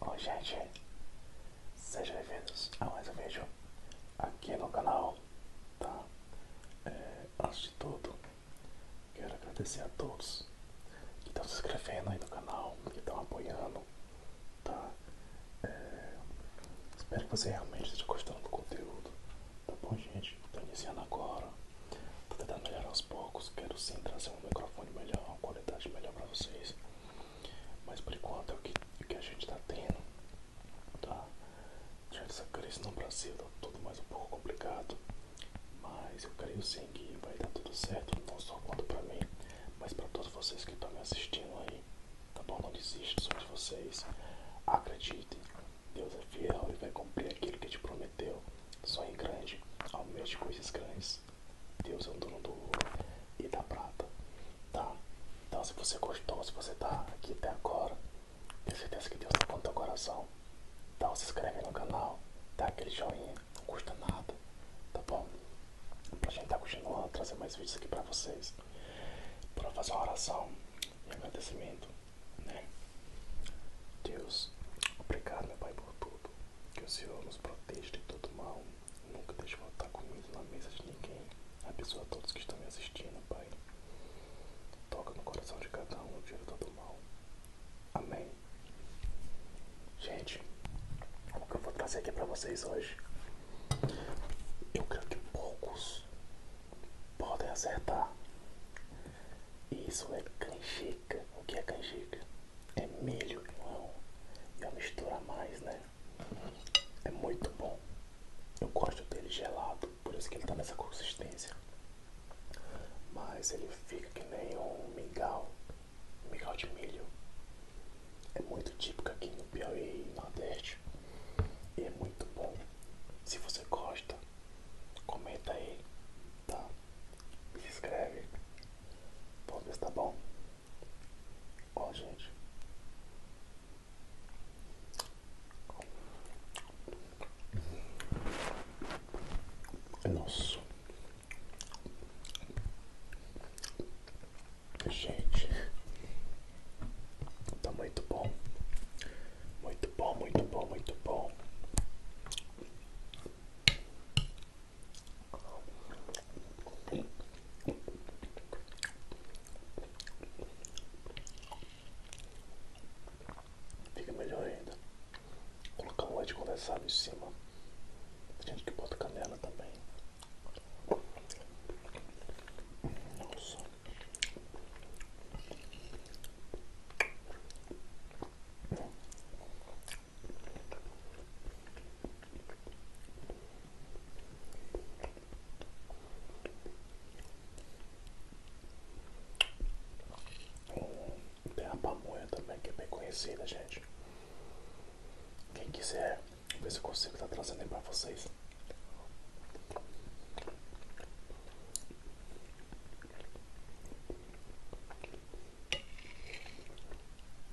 Oi gente, sejam bem-vindos a mais um vídeo aqui no canal, tá? É, antes de tudo, quero agradecer a todos que estão se inscrevendo aí no canal, que estão apoiando, tá? É, espero que vocês realmente estejam gostando do conteúdo, tá bom gente? Estou iniciando agora, estou tentando melhorar aos poucos, quero sim trazer um microfone melhor, uma qualidade melhor para vocês. Mas por enquanto é, é o que, a gente tá tendo, tá? Já essa crise no Brasil tá tudo mais um pouco complicado, mas eu creio sim que vai dar tudo certo, não só quanto pra mim, mas pra todos vocês que estão me assistindo aí, tá bom? Não desista de vocês, Acredite, Deus é fiel e vai cumprir aquilo que te prometeu, sonhe grande, almeja coisas grandes. Deus. é o dono do ouro e da prata, tá? Então, se você gostou, se você tá aqui até agora, tenho certeza que Deus tá com o teu coração. Então, se inscreve no canal, dá aquele joinha, não custa nada, tá bom? Pra gente tá continuando trazer mais vídeos aqui pra vocês, pra fazer uma oração e agradecimento, né? Deus, obrigado, meu Pai, por tudo. Que o Senhor nos proteja de todo mal. Nunca deixe voltar comida na mesa de ninguém. Abençoa a todos que estão me assistindo, Pai. Toca no coração de cada um no dia todo mal. Amém. Gente, o que eu vou trazer aqui pra vocês hoje? Eu creio que poucos podem acertar. E isso é canjica. O que é canjica? é milho não. e a mistura mais, né? É muito bom. Eu gosto dele gelado, por isso que ele tá nessa consistência. Mas ele fica que nem um mingau, um mingau de milho. É muito típico aqui no Piauí e Nordeste. E é muito bom. Se você gosta, comenta aí, tá? Se inscreve. Vamos ver se tá bom. Ó, gente. Nossa. Gente. Tá muito bom. Muito bom, muito bom, muito bom. Fica melhor ainda. Colocar um leite condensado em cima. Tem gente que bota canela também. Nossa. Tem a pamonha também, que é bem conhecida, gente. Quem quiser, ver se eu consigo estar tá trazendo aí pra vocês.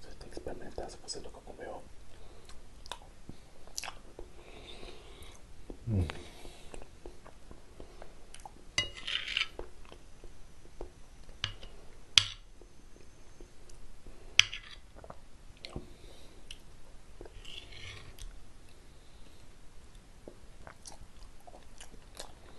Você tem que experimentar se você nunca comeu. Hum.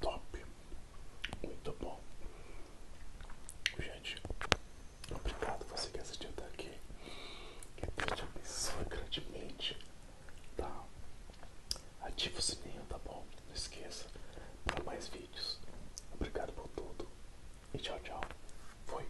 Top, muito bom, gente. Obrigado você que assistiu aqui. Que Deus te abençoe grandemente. Tá? Ativa o sininho, tá bom? Não esqueça para mais vídeos. Obrigado por tudo e tchau, tchau. Fui.